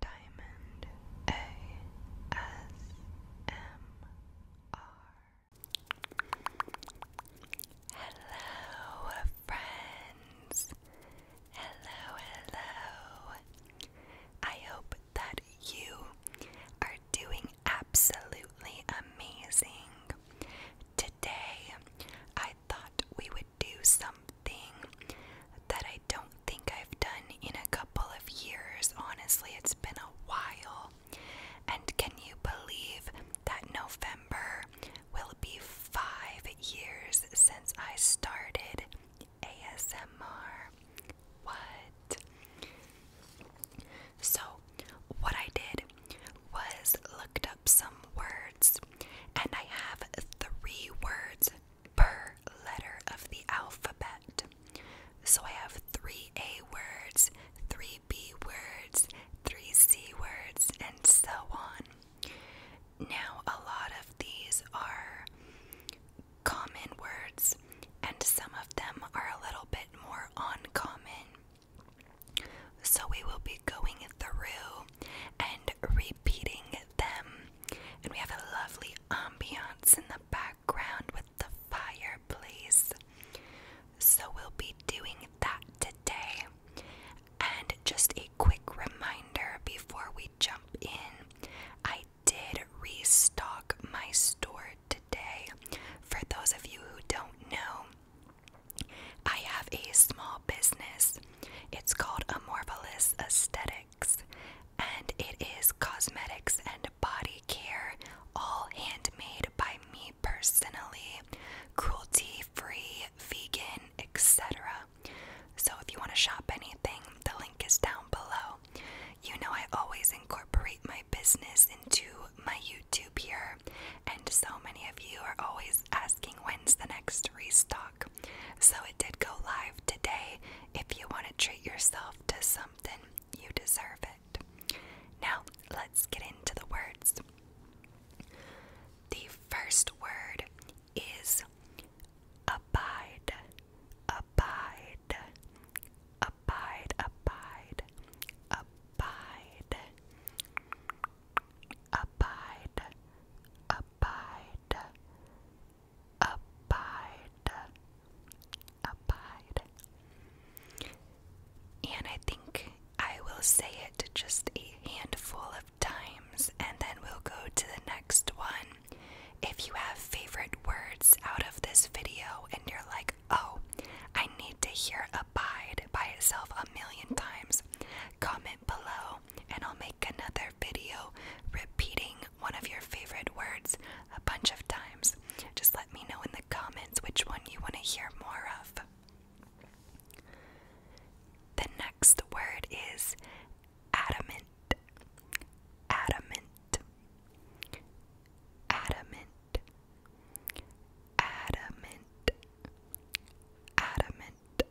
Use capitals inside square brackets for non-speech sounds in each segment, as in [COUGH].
Diamond ASMR. Hello, friends. Hello, hello. I hope that you are doing absolutely amazing. Today, I thought we would do something that I don't think I've done in a couple of years. Honestly, it's been a while. And can you believe that November will be five years since I started ASMR? What? So, what I did was looked up some words, and I have three words per letter of the alphabet. So I have three A words, three B words, three C words, and so on. Now, a lot of these are common words, and some of them are a little bit more uncommon. So we will be going through and repeating them and we have a lovely ambiance in the background with the fireplace. So we'll be doing that today. And just a quick reminder before we jump in, I did restock my store today. For those of you who don't know, I have a small business. It's called a Aesthetic and it is cosmetics and body care, all handmade by me personally, cruelty free, vegan, etc. So if you want to shop anything, the link is down below. You know, I always incorporate my business into my YouTube here, and so many of you are always asking when's the next restock. So it did go live today. If you want to treat yourself to something, you deserve it. Now, let's get into the words. The first word is abide, abide, abide, abide, abide, abide, abide, abide, abide, abide. And I think I will say it just a handful of times and then we'll go to the next one. If you have favorite words out of this video and you're like, oh, I need to hear abide by itself a million times, comment below and I'll make another video repeating one of your favorite words a bunch of times. Just let me know in the comments which one you want to hear more of. The next word is adamant. Adamant. Adamant. Adamant. Adamant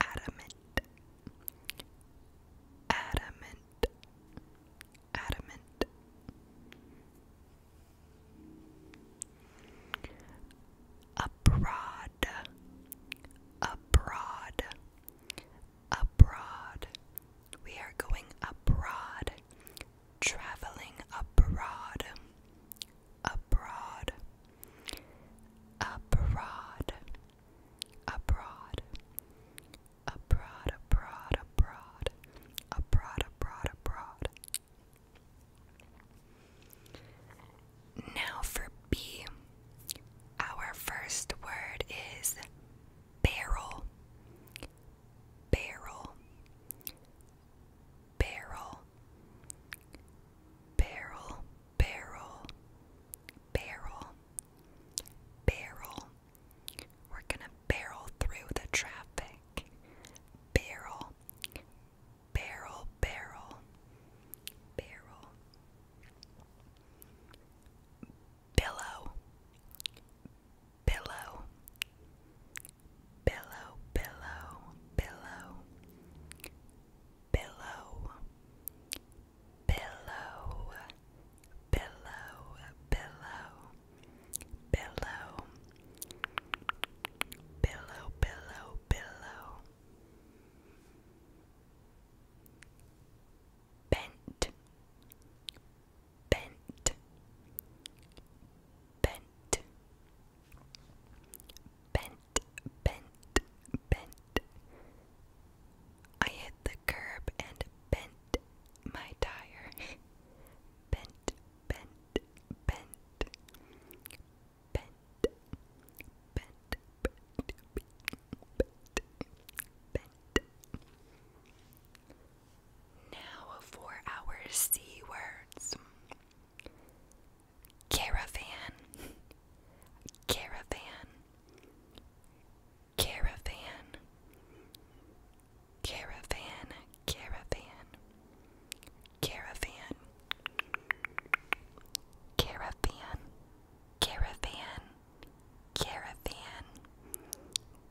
adamant, adamant, adamant. Abroad, abroad, abroad. We are going abroad, traveling abroad, abroad, abroad abroad, abroad, abroad, abroad, abroad, abroad, abroad. Now for B, our first word is barrel, barrel, barrel, barrel, barrel, barrel, barrel. We're gonna barrel through the traffic. Barrel, barrel, barrel, barrel. Billow, billow, billow, billow, billow. Pillow, pillow, pillow, pillow, pillow, pillow, pillow, pillow. Bent, bent, bent, bent, bent, bent. I hit the curb and bent my tire. bent, [LAUGHS] bent, bent. Bent, bent, bent, bent, bent. Now for our C words caravan, caravan, Caravan, caravan, caravan, caravan, caravan, caravan, caravan, caravan,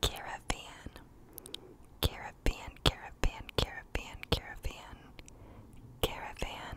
caravan, caravan, caravan, caravan, caravan.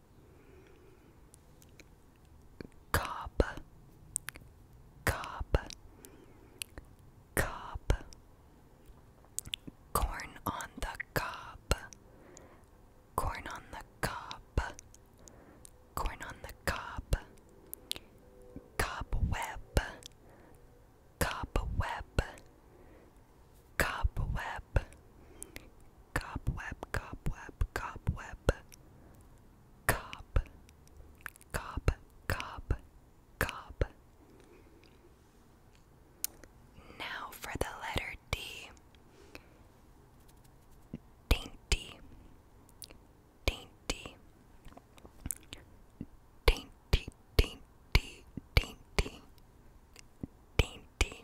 Cob, cob, cob. Corn on the cob, corn on the cob, corn on the cob. Cobweb, cobweb, cobweb, cobweb, cobweb, cobweb, cob, cob, cob, cob. Now for the letter D. Dainty, dainty, dainty, dainty, dainty, dainty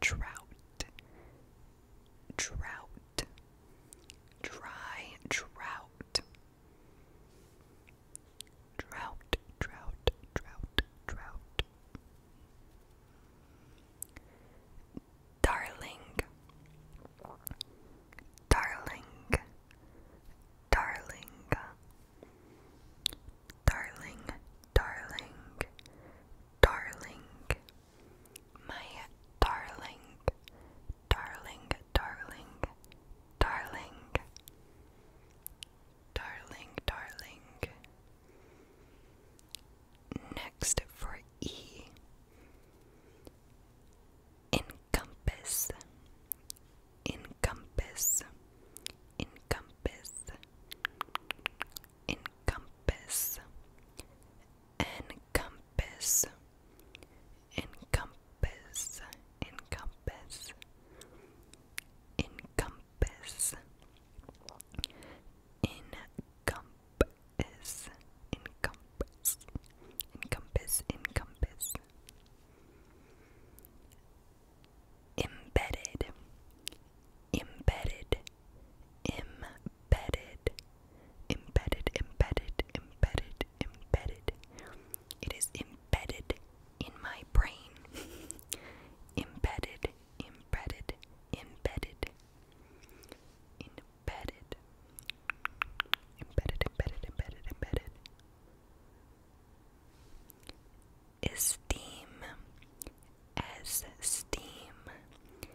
drought, drought, dry drought, drought, drought, drought, drought. Darling, darling, darling, darling, darling, darling, my darling, darling, darling, darling, darling, darling. Next for E. Encompass, encompass, encompass, encompass encompass encompass encompass encompass encompass encompass encompass encompass embedded embedded, embedded, embedded, embedded, embedded, embedded. It is embedded in my brain. [LAUGHS] embedded, embedded, embedded, embedded, embedded, embedded, embedded, as steam,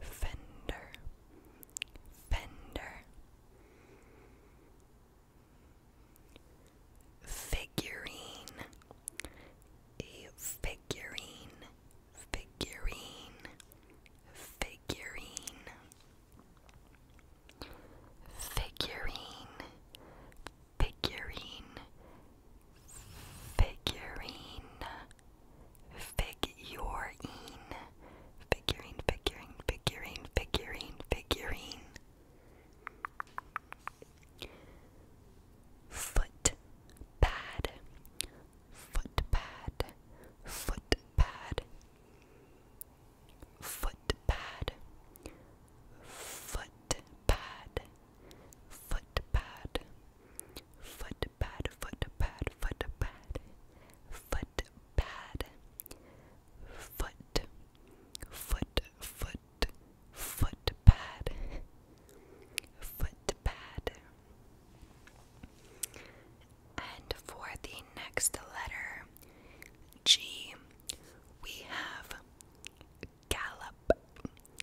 Fender, Fender, Figurine, a figurine, figurine, figurine, figurine, figurine, figurine. Figurine. Figurine, figurine, figurine, figurine, figurine. Foot pad. Foot pad. Foot pad. Foot pad. Foot pad footpad, footpad, footpad, footpad, footpad, foot, foot, foot, footpad, footpad. And for the next letter, G, we have gallop,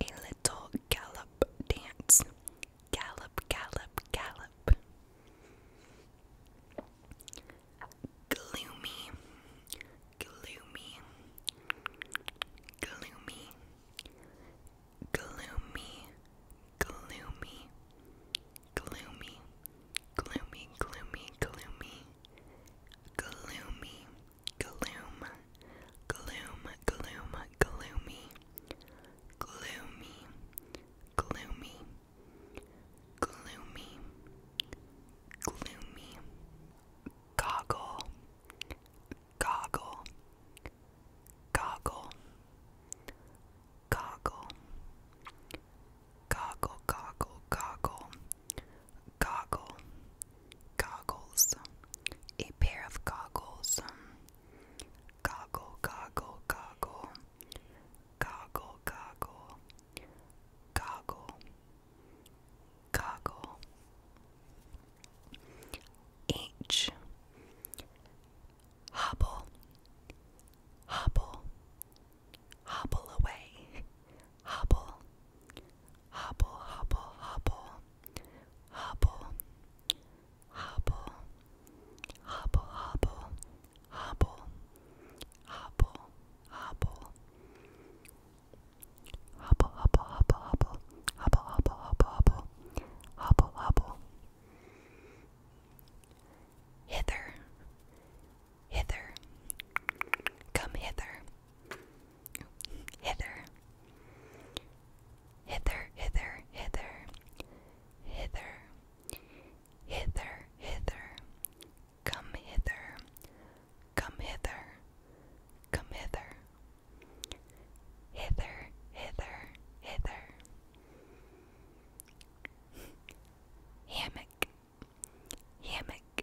a little gallop dance. Gallop, gallop, gallop. Gloomy, gloomy, gloomy, gloomy, gloomy, gloomy, gloomy, gloomy, gloomy, gloomy, gloom, gloom, gloom, gloomy, gloomy, gloomy, gloomy, gloomy, goggle, goggle, goggle, goggle, goggle, goggle, goggle goggle, goggles, a pair of goggles, goggle, goggle, goggle, goggle, goggle, goggle, goggle. H, hobble, hobble, hobble away, hobble hobble, hobble, hobble, hobble, hobble, hobble, hobble, hobble, hobble, hobble, hobble, hobble, hobble, hobble, hobble, hobble, Hither, hither, come hither, hither, hither, hither, hither, hither, hither, hither, come hither, come hither, come hither, hither, hither, hither. Hammock, hammock,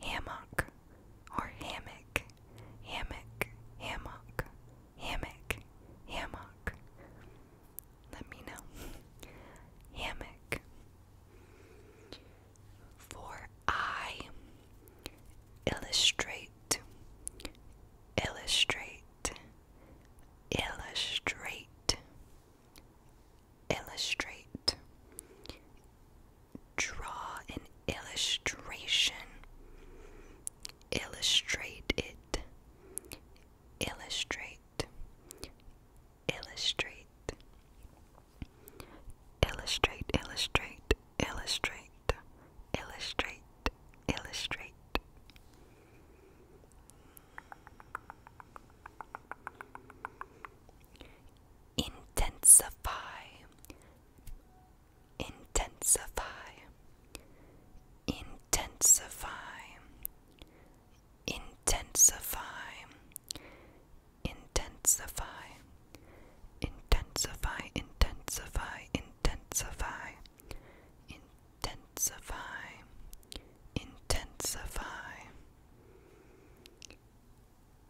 hammock or hammock, hammock, hammock, hammock, hammock. Let me know. hammock. For I illustrate, illustrate, illustrate, illustrate draw an illustration, illustrate it, illustrate, illustrate, illustrate, illustrate, illustrate, illustrate. Intensify, intensify, intensify, intensify, intensify, intensify, intensify, intensify, intensify, intensify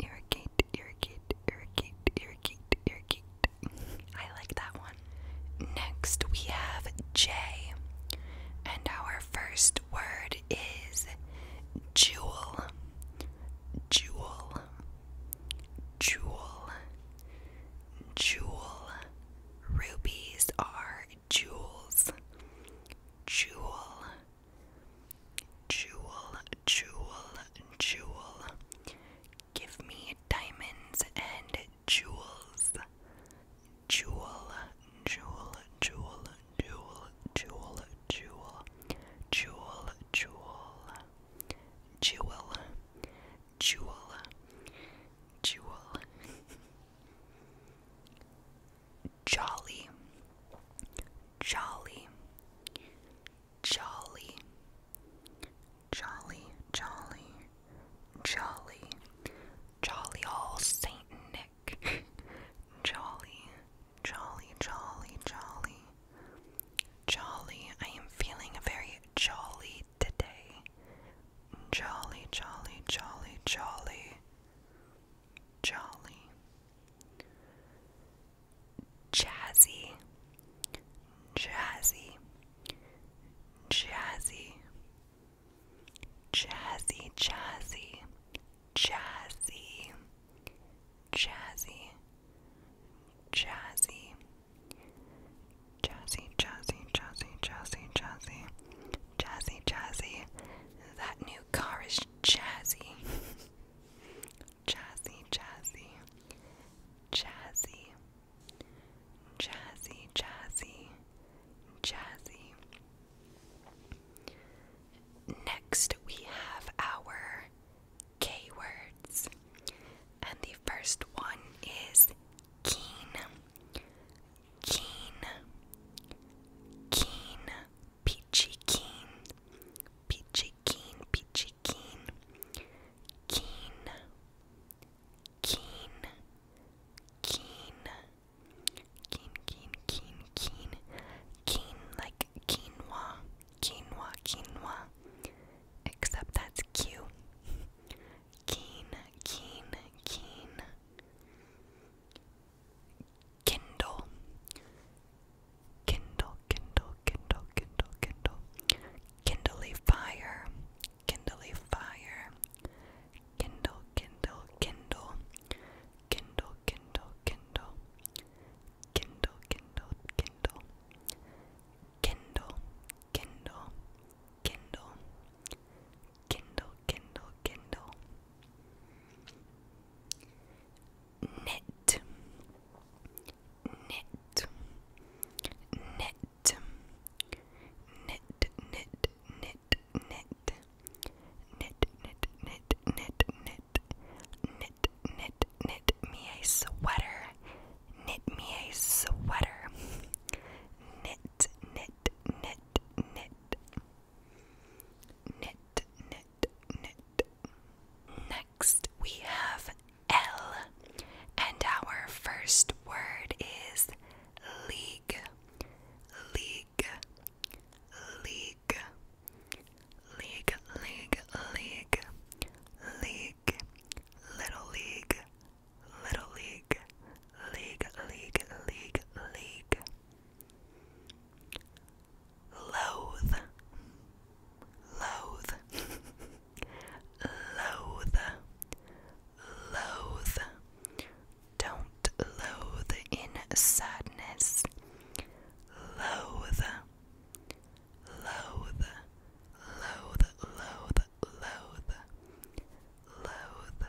irrigate, irrigate, irrigate, irrigate, irrigate, I like that one. Next, we have J, and our first word is jewel, jewel, jewel, jewel. Rubies are jewels, jewel. Jewel, jewel, jewel. Give me diamonds and jewels. Jewel, jewel, jewel, jewel, jewel, jewel, jewel, jewel, jewel, jewel, jolly, jolly, jolly, jolly, jolly, jolly, jolly, all Saint Nick, [LAUGHS] jolly, jolly, jolly, jolly, jolly. I am feeling very jolly today. Jolly, jolly, jolly, jolly jolly, jazzy, jazzy, jazzy, jazzy, jazzy, jazzy, jazzy, jazzy. Jazzy, jazzy, jazzy, jazzy, jazzy, jazzy, jazzy. That new car is jazzy. jazzy, jazzy, jazzy, jazzy, jazzy, Next, we have our K words, and the first one is keen, keen, keen peachy keen, peachy keen, peachy keen, keen, keen, keen, keen, keen, keen, keen, keen, like quinoa, quinoa, quinoa, except that's Q. Keen, keen, keen. Kindle. Kindle, Kindle, Kindle, Kindle, Kindle. Kindly fire. Kindly fire. Kindle, Kindle, Kindle. Kindle, Kindle, Kindle. Kindle, Kindle, Kindle. Kindle, Kindle, Kindle. Kindle, Kindle, Kindle knit knit knit knit knit knit knit knit knit knit knit knit knit knit knit me a sweater knit me a sweater knit knit knit knit knit knit knit, knit. Next, we have L, and our first word is league, league, league, league, league, league, league, little league, little league, league, league, league, league loathe, loathe, loathe, loathe. Don't loathe in sadness. Loathe, loathe, loathe, loathe, loathe, loathe, loathe.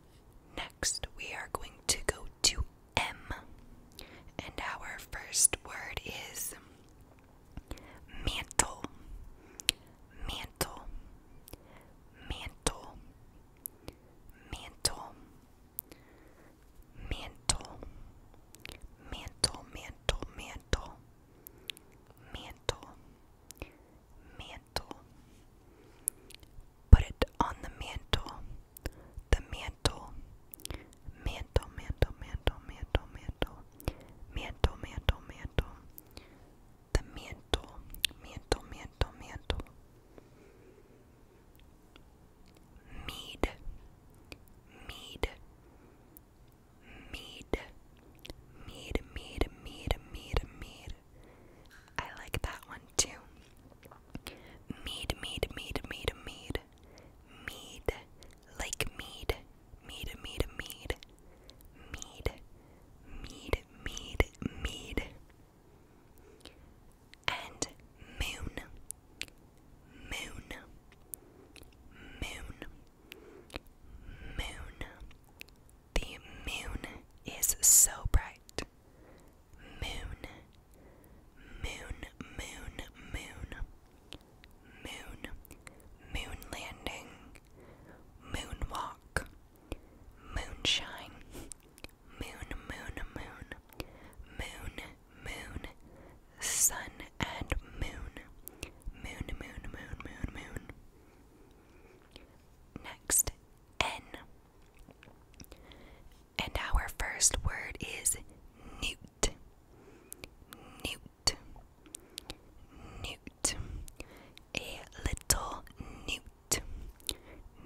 Next, we are going to go to M, and our first word is mantle, mantle, mantle, mantle, mantle, mantle, mantle, mantle, mantle, mantle. Put it on the mantle the mantle, mantle, mantle, mantle, mantle, mantle, mantle, mantle, mantle, the mantle, mantle, mantle, mantle, mead, mead, mead, mead, mead, mead, mead, mead. I like that one too. Mead, mead, mead, mead, mead. Mead, like mead, mead, mead. Mead, mead, mead, mead. And moon, moon, moon, moon. The moon is so bright moon, moon, moon, moon, moon, moon landing, moonwalk, moonshine, moon, moon, moon, moon, moon, sun and moon, moon, moon, moon, moon, moon. Next, N. And our first word is newt. Newt. Newt. A little newt.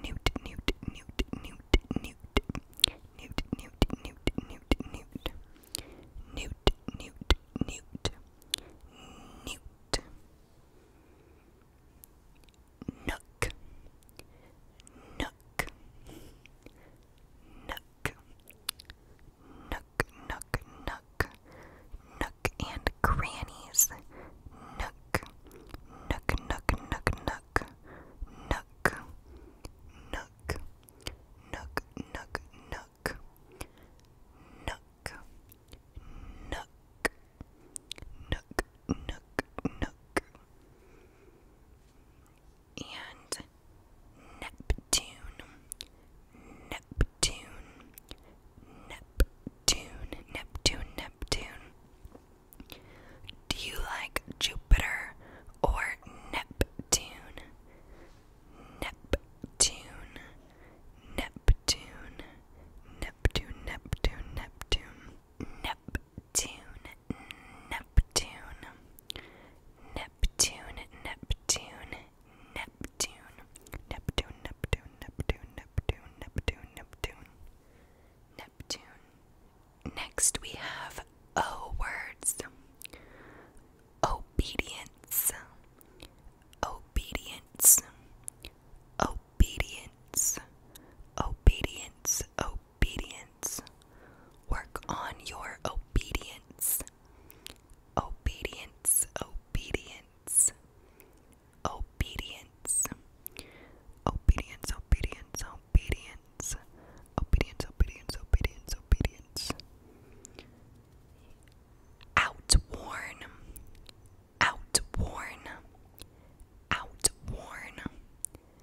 Newt, newt, newt, newt, newt. Newt, newt, newt, newt, newt. Newt, newt, Nook, nook, nook, nook, nook, nook, nook and crannies. nook, nook, nook, nook, nook, nook, nook, nook, nook, nook, nook. Nook, Nook, Nook. And Neptune, Neptune, Neptune, Neptune, Neptune. Do you like Jupiter or Neptune? Neptune, Neptune, Neptune, Neptune, Neptune, Neptune. Neptune. Neptune, Neptune, Neptune, Neptune, Neptune, Neptune, Neptune, Neptune, Neptune, Neptune, Neptune, Next we have O words. Obedience, obedience, obedience obedience, obedience, obedience. Work on your obedience, obedience, obedience, obedience, obedience, obedience, obedience, obedience, obedience, obedience, obedience. Outworn, outworn, outworn,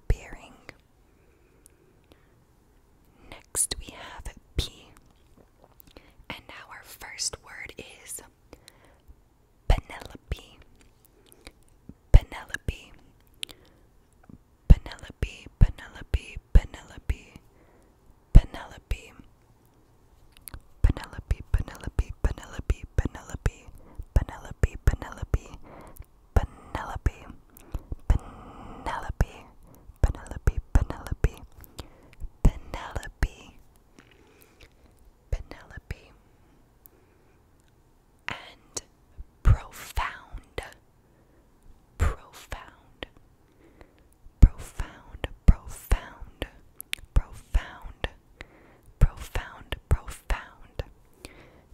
or bearing. Next, we have P. And now our first word is Penelope. Penelope. Penelope, Penelope, Penelope. Penelope. Penelope, Penelope, Penelope, Penelope. Penelope, Penelope. Penelope, Penelope, Penelope, Penelope, Penelope, Penelope, and profound, profound, profound, profound, profound, profound, profound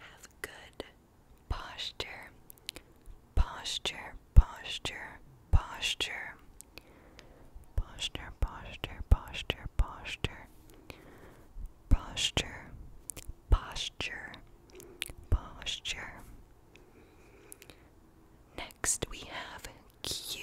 Have good posture, posture, posture, posture, posture, posture, posture, posture, posture, posture, posture. Next we have Q.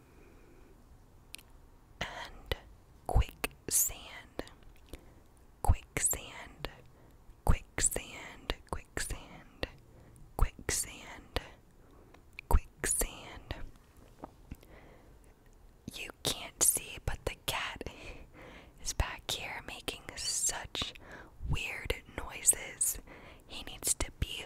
and quicksand, quicksand, quicksand, quicksand, quicksand, quicksand. You can't see, but the cat is back here making such weird noises. He needs to be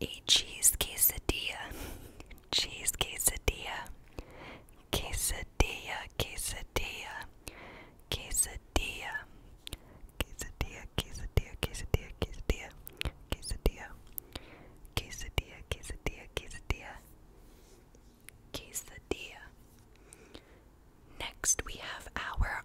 a cheese quesadilla, cheese quesadilla, quesadilla, quesadilla, quesadilla, quesadilla, quesadilla, quesadilla, quesadilla, quesadilla, quesadilla, quesadilla, quesadilla, quesadilla. Next, we have our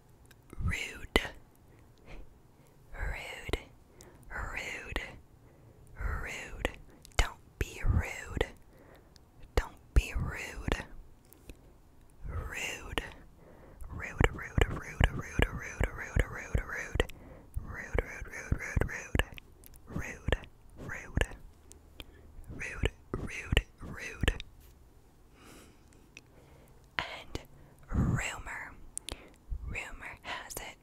rude, rude, rude, rude. Don't be rude. Don't be rude. Rude. Rude, rude, rude, rude, rude, rude, rude, rude. Rude, rude, rude, rude, rude. Rude, rude. Rude, rude, and rumor, rumor has it.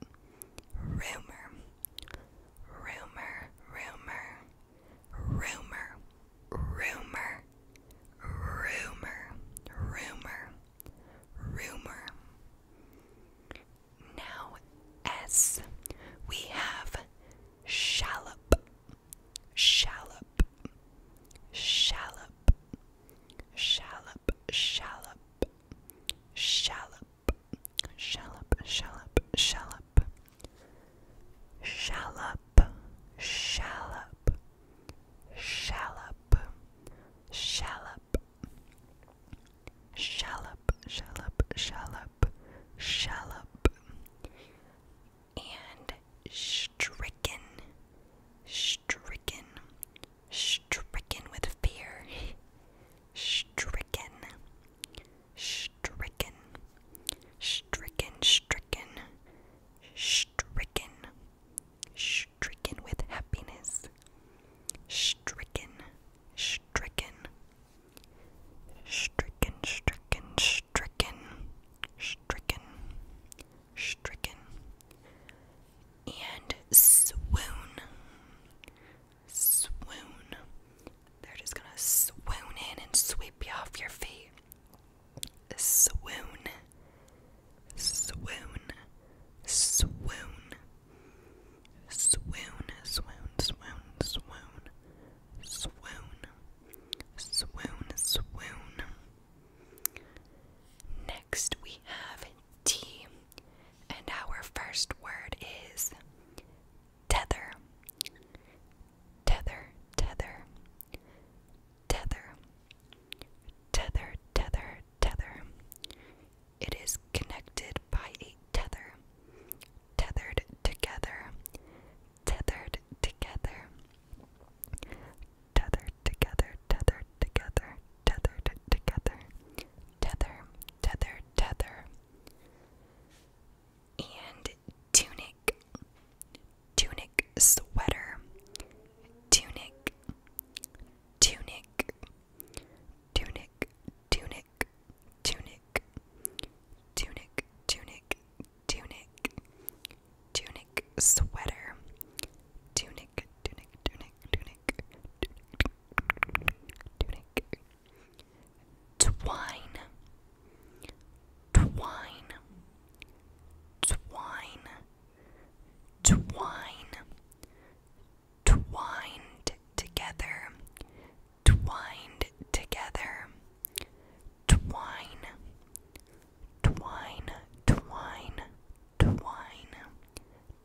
Rumor, rumor, rumor, rumor, rumor, rumor, rumor, Now, S, we have shallop. Shallop, shallop, shallop, shallop, shallop, shallop, shallop, shallop, shallop, shallop, shallop, shallop, shallop, shallop, shallop, shallop and stricken, stricken, stricken with fear, stricken, stricken, stricken, stricken, stricken, stricken with happiness, stricken, stricken. Stricken, stricken, stricken, stricken, stricken and swoon. Swoon. They're just gonna swoon in and sweep you off your feet. Swoon. Swoon. Swoon. Swoon. Swoon. Swoon. Swoon. Swoon. Swoon. Swoon. Next, we have T, and our first word is tether. Tether, tether, tether, tether, tether, tether. It is connected by a tether, tethered together, tethered together. Tethered together, tethered together, tethered together. Tether, tether, tether. And tunic, tunic, sweater, tunic, tunic, tunic, tunic, tunic, tunic, tunic, tunic, tunic sweater, tunic, tunic, tunic, tunic, tunic, twine, twine, twine, twine, twined together, twined together, twine twine, twine, twine,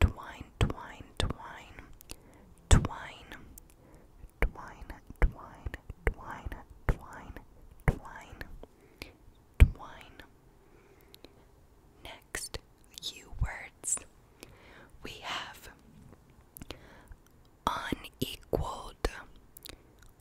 twine, twine, twine, twine, twine, twine, twine, twine, twine, twine. Next, U words. We have unequaled,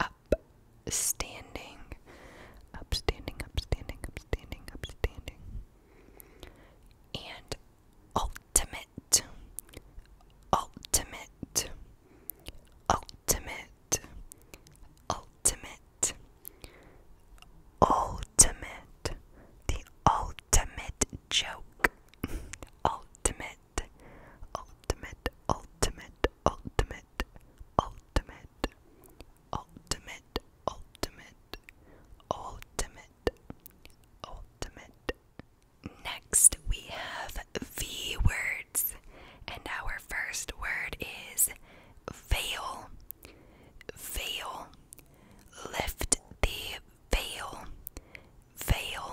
upstanding, upstanding, upstanding, upstanding, upstanding, and ultimate, ultimate, ultimate, ultimate, ultimate, the ultimate joke, [LAUGHS] ultimate ultimate, ultimate, ultimate, ultimate, ultimate, ultimate, ultimate, ultimate. Next, we have V words, and our first word is veil. Veil. Lift the veil. Veil.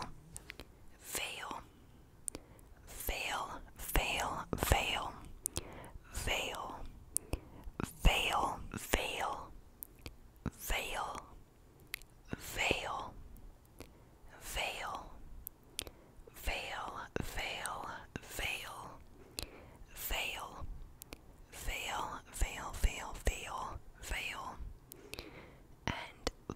Veil. Fail, fail, fail. Fail, fail, fail. Fail, fail. Fail, fail, fail, fail. Fail, fail, fail, fail, fail, fail. And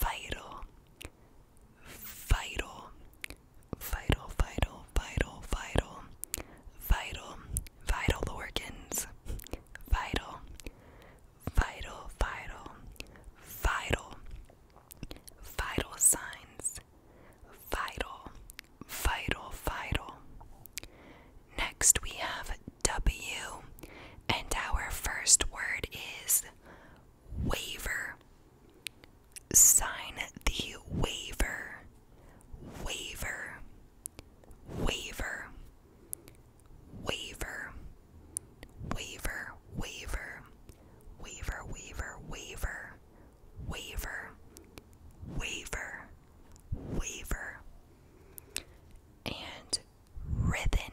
vital, vital, vital, vital, vital, vital, vital, vital organs, vital, vital, vital, vital, vital signs, vital, vital, vital. Next we have W, and our first word is waiver. Sign the waiver. Waiver. Waiver. Waiver. Waiver. Waiver. Waiver. Waiver. Waiver. Waiver. And written.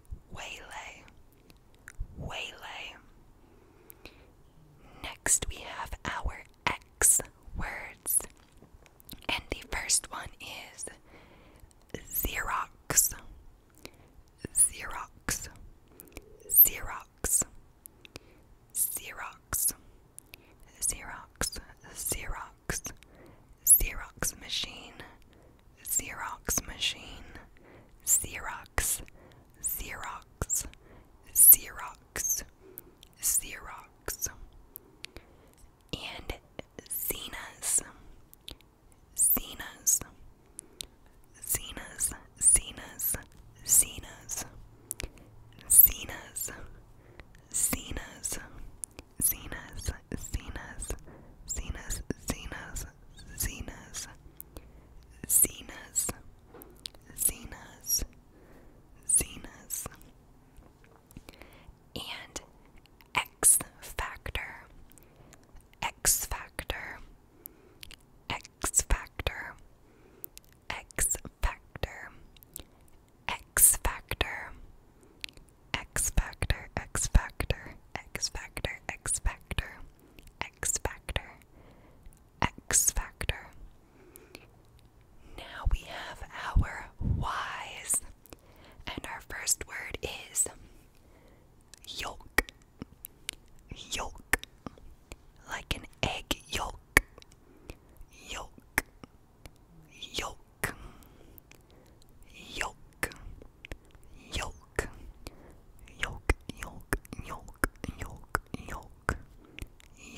waylay, waylay. Next, we have our X words, and the first one is Xerox, Xerox, Xerox, Xerox, Xerox, Xerox, Xerox machine, Xerox machine, Xerox, Xerox, Xerox, Xerox, and Zenas, Zenas, Zenas, Zenas, Zenas, Zenas, Zenas, Zenas, Zenas, Zenas, Zenas, Zenas, Zenas, Zenas, Zenas, and X Factor, X Factor, X Factor, X Factor, X Factor, X Factor, X Factor, X Factor, X Factor, X Factor, X Factor. Now we have our Y's, and our first word is yolk, yolk, like an egg yolk, yolk, yolk yolk, yolk, yolk, yolk, yolk, yolk, yolk,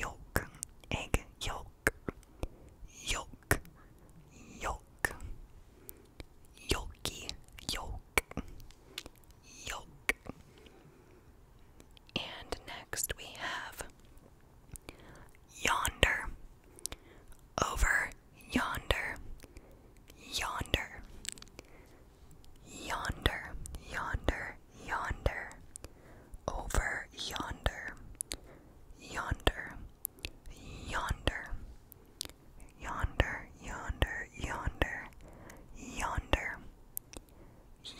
yolk, egg, yolk, yolk, yolk, yolky, yolk, yolk. And next we have yonder, over yonder, yonder, yonder, yonder, yonder, over yonder, yonder, yonder, yonder, yonder, yonder, yonder. Yonder,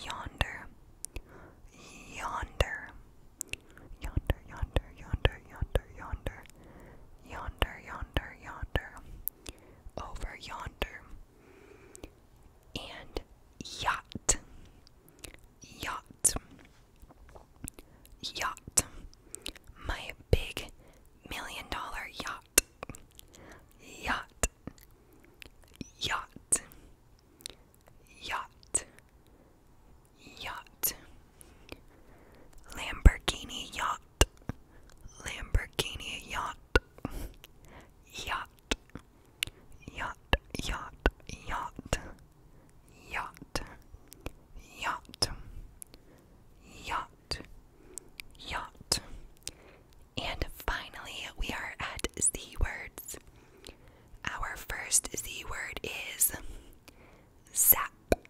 yonder, yonder, yonder, yonder, yonder, yonder, yonder, yonder, yonder, over yonder, and yacht, yacht, yacht, my big million dollar yacht, yacht, yacht, yacht, yacht. Lamborghini yacht, Lamborghini yacht, yacht, yacht, yacht, yacht, yacht, yacht, yacht, yacht. And finally, we are at Z words. Our first Z word is zap,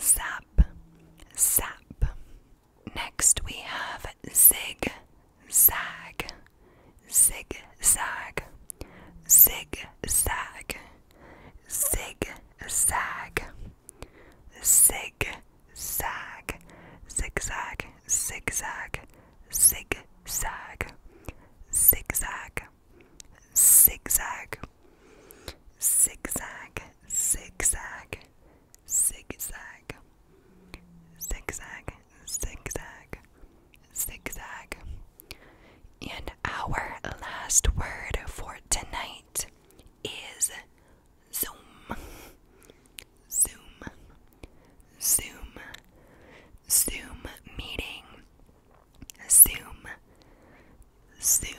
zap, zap. Next we have zig, zag, zig, zag, zig, zag, zig, zag, zig, zag, zigzag, zigzag, zigzag, zigzag, zigzag, zigzag, zigzag zigzag, zigzag, zigzag, zigzag. And our last word for tonight is zoom, zoom, zoom, zoom meeting, zoom, zoom.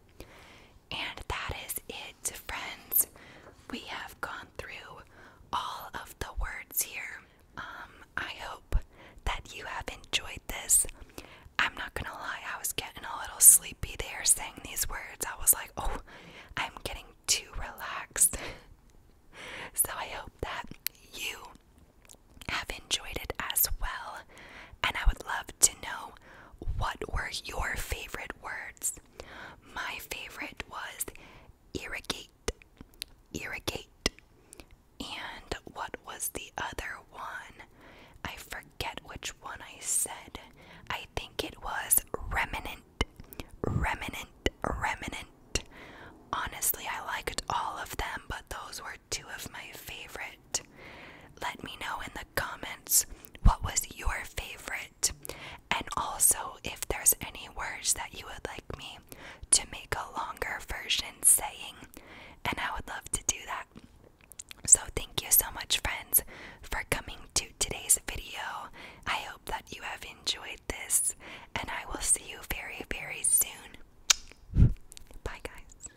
And that is it, friends. We have gone through all of the words here. Um, I hope that you have enjoyed this. I'm not gonna lie, I was getting a little sleepy there saying these words. I was like, oh, I'm getting too relaxed. [LAUGHS] so I hope that you have enjoyed it as well. And I would love to know what were your favorite words? My favorite was irrigate, irrigate. And what was the other one? I forget which one I said. I think it was remnant, remnant, remnant. Honestly, I liked all of them, but those were two of my favorite. Let me know in the comments what was your favorite, and also if there's any words that you would like me to make a longer version saying, and I would love to do that. So, thank you so much, friends, for coming to today's video. I hope that you have enjoyed this, and I will see you very, very soon. Bye, guys.